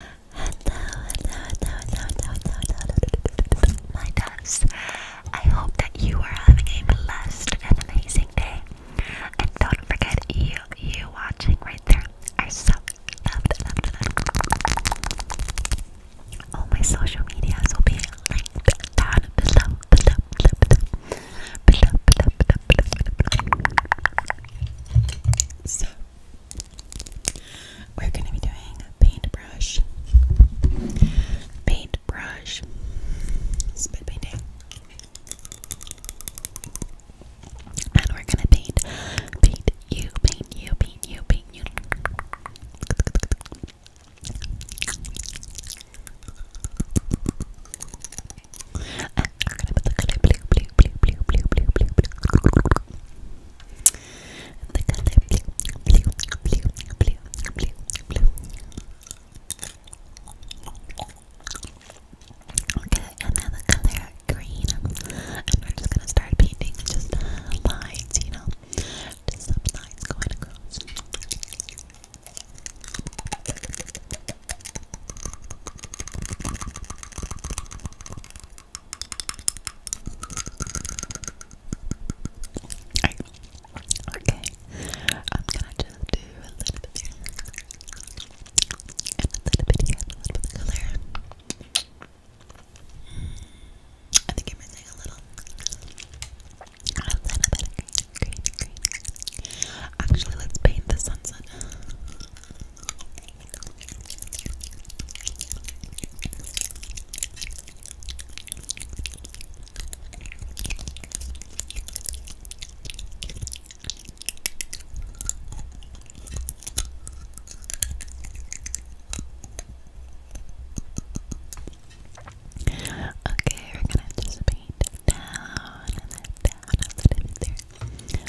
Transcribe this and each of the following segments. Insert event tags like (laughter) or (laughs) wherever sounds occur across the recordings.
Hello, hello, hello, hello, hello, hello, my doves. I hope that you are having a blessed and amazing day. And don't forget, you, you watching right there are so loved, loved, loved. All my social medias will be linked down below, below, below, below, below, below, below, below. So we're going to be doing paintbrush, paintbrush, spit painting, and we're going to paint, paint you, paint you, paint you, paint you. Okay, and now the color green. And we're just gonna start painting just lines, you know. Just some lines going across. Okay, I'm gonna just do a little bit a little bit of color. I think I'm missing a little, a little bit of green. Actually, let's paint the sunset. Okay, we're gonna just paint down and then down a little bit there.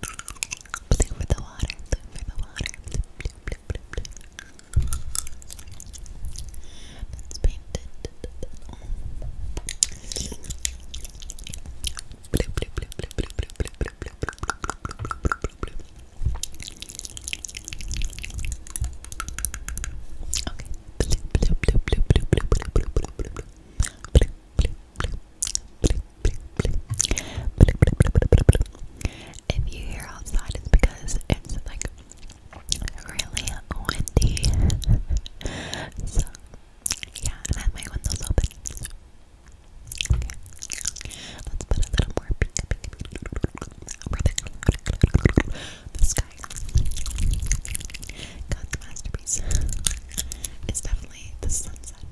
Blue for the water, blue for the water. Blue, blue, blue, blue, blue. That's painted. Oh. Blue, blue, blue, blue, blue, blue, blue, blue, blue, blue, blue, blue, blue, blue, Okay. Blue, blue, blue, blue, blue, blue, blue, blue, blue, blue. Blue, if you hear outside, it's because it's like really windy. (laughs) so, yeah, and my windows open. let's put a little more pink, The sky. God's masterpiece. It's definitely the sunset.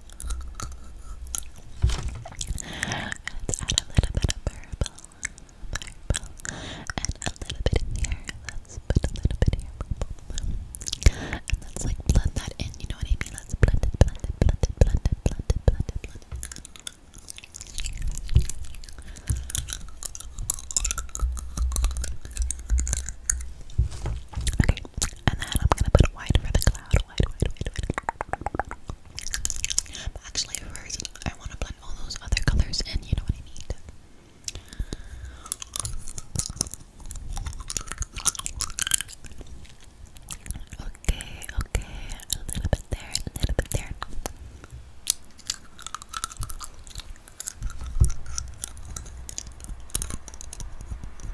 Let's add a little bit of purple, purple, and a little bit here. Let's put a little bit here, purple, and let's like blend that in. You know what I mean? Let's blend blend blend blend blend blend blend Okay, and then I'm gonna put white for the loud. Wait, actually, first, I want to blend all those other colors in. You know what I need. Okay, okay, a little bit there, a little bit there.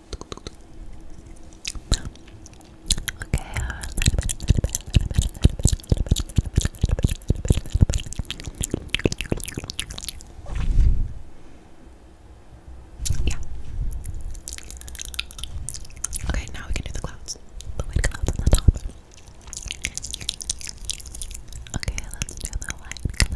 Okay, Okay, now we can do the clouds. The white clouds on the top. Okay, let's do the white cloud,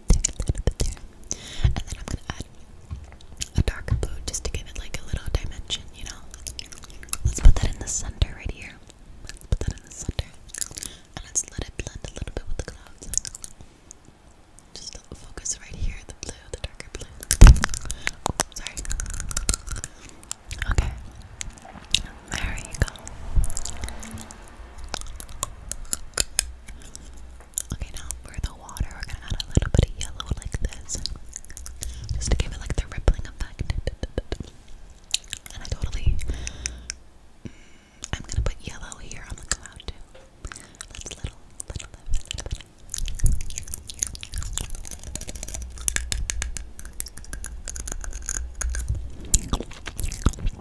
and then I'm gonna add a darker blue just to give it like a little dimension, you know? Let's put that in the center right here. Let's put that in the center. And let's let it blend a little bit with the clouds. Just focus right here, the blue, the darker blue. sorry. Okay. There you go. Okay, now for the water, we're gonna add a little bit of yellow like this. Just to give it like the rippling effect. And I totally mm, I'm gonna put yellow here on the cloud too. let little little little. little.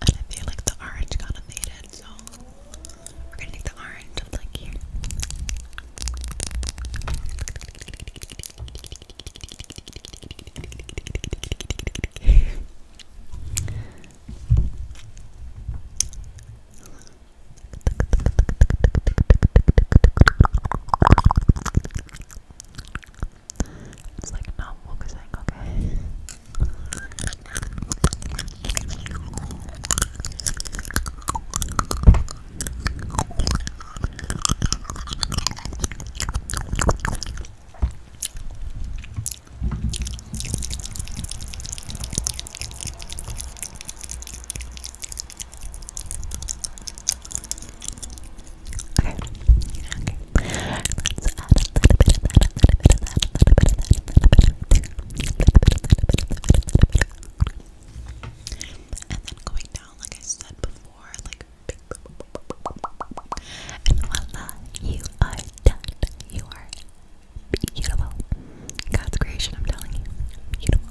And I feel like the orange got evaded, so we're gonna take the orange up like here. It's like not focusing, okay? Okay. and then going down, like I said before, like and voila, you are done. You are beautiful. God's creation, I'm telling you, beautiful.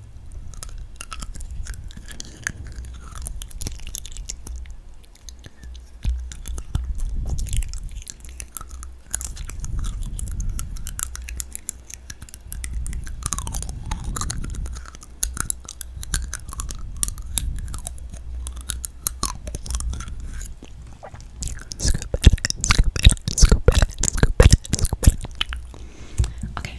Scoop it, scoop it, scoop it, scoop it, scoop it. Okay.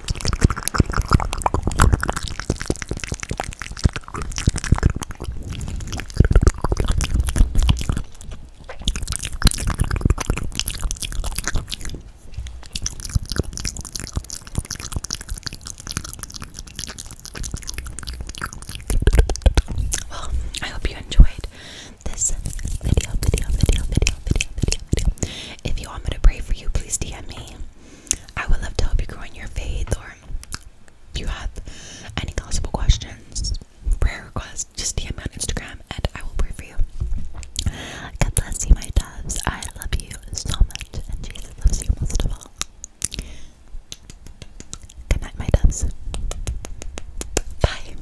well, I hope you enjoyed this video, video, video, video, video, video, video. If you want me to pray for you, please DM me. I would love to help you grow in your faith, or if you have any possible questions, prayer requests, just DM me on Instagram and I will pray for you. God bless you, my doves. I love you so much, and Jesus loves you most of all. Good my doves. Bye.